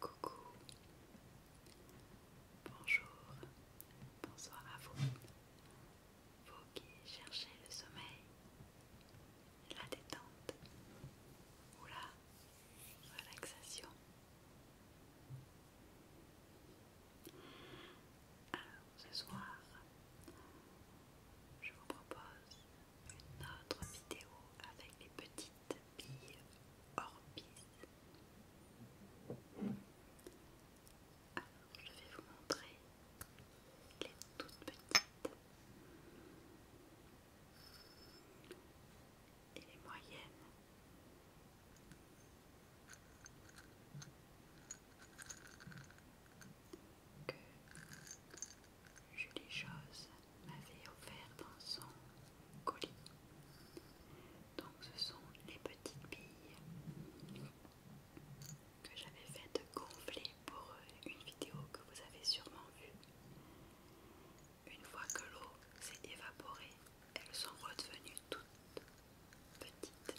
Coucou, bonjour, bonsoir à vous, vous qui cherchez le sommeil, la détente ou la relaxation. Alors ce soir, je vous propose autre vidéo avec les petites billes orbites. Alors, je vais vous montrer les toutes petites et les moyennes. Julie Chose m'avait offert dans son colis. Donc ce sont les petites billes que j'avais faites gonfler pour une vidéo que vous avez sûrement vue. Une fois que l'eau s'est évaporée, elles sont redevenues toutes petites.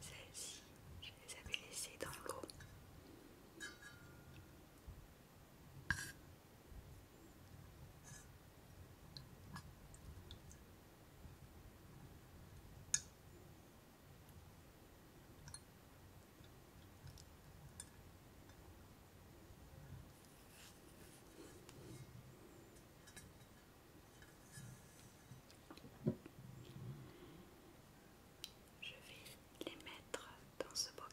Celles-ci, je les avais laissées dans le l'eau. Je vais les mettre dans ce bocal.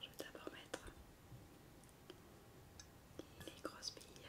Je vais d'abord mettre les grosses billes.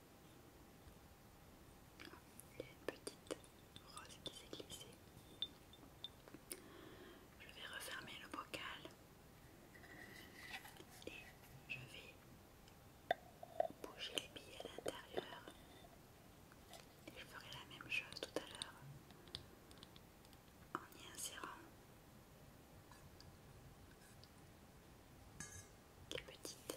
Il y a une petite rose qui s'est glissée. Je vais refermer le bocal et je vais bouger les billes à l'intérieur. Et je ferai la même chose tout à l'heure en y insérant qui petite.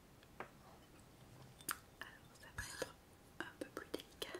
Alors ça va être un peu plus délicat.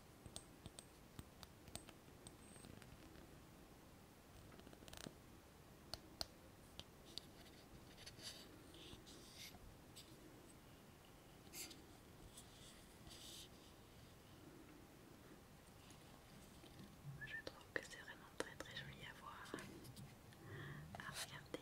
Je trouve que c'est vraiment très très joli à voir, à regarder.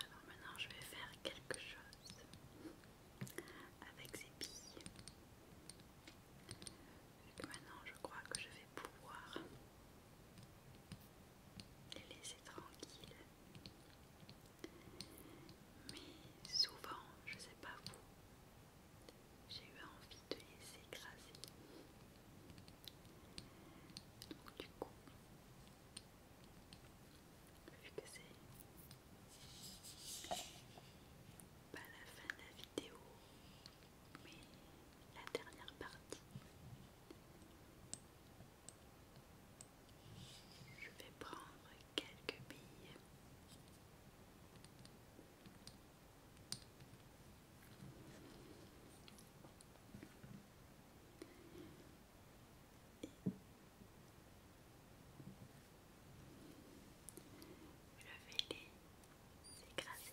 Alors maintenant je vais faire quelque chose avec ces billes. maintenant je crois que je vais pouvoir les laisser tranquilles. Mais souvent, je sais pas vous, j'ai eu envie de les écraser. Donc, du coup, vu que c'est pas la fin de la vidéo, mais la dernière partie. Je vais prendre quelques billes. Je vais les écraser.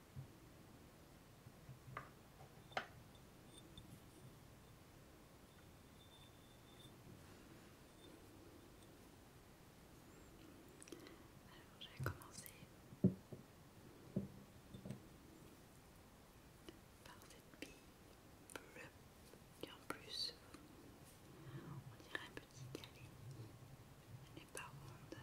Alors, je vais commencer par cette bille qui en plus, on dirait un petit galet, elle n'est pas ronde.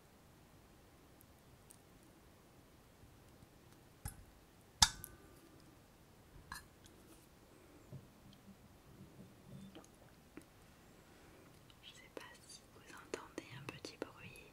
Je ne sais pas si vous entendez un petit bruit.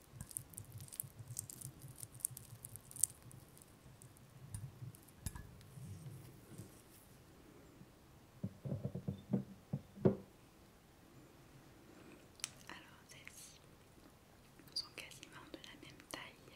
Alors celles sont quasiment de la même taille.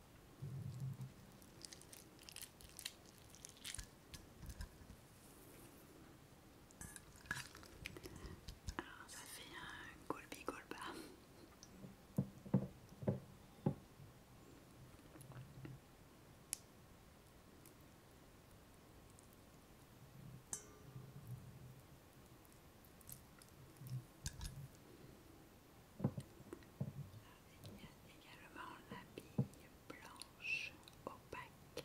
Alors ça fait un colbi golba. Il y a également la bille blanche opaque.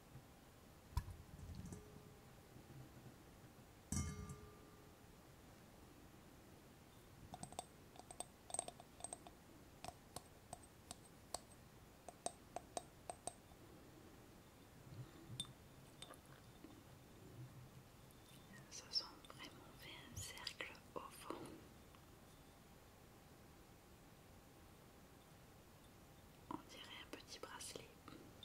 Ça sent vraiment fait un cercle au fond. On dirait un petit bracelet.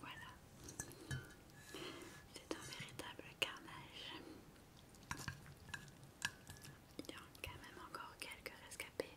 Voilà, c'est un véritable carnage. Il y a quand même encore quelques rescapés.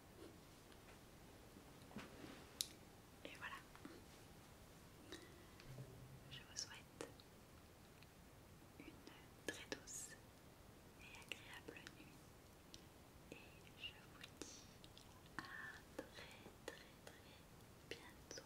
Et voilà. Je vous souhaite une très douce et agréable nuit. Et je vous dis à très très très bientôt.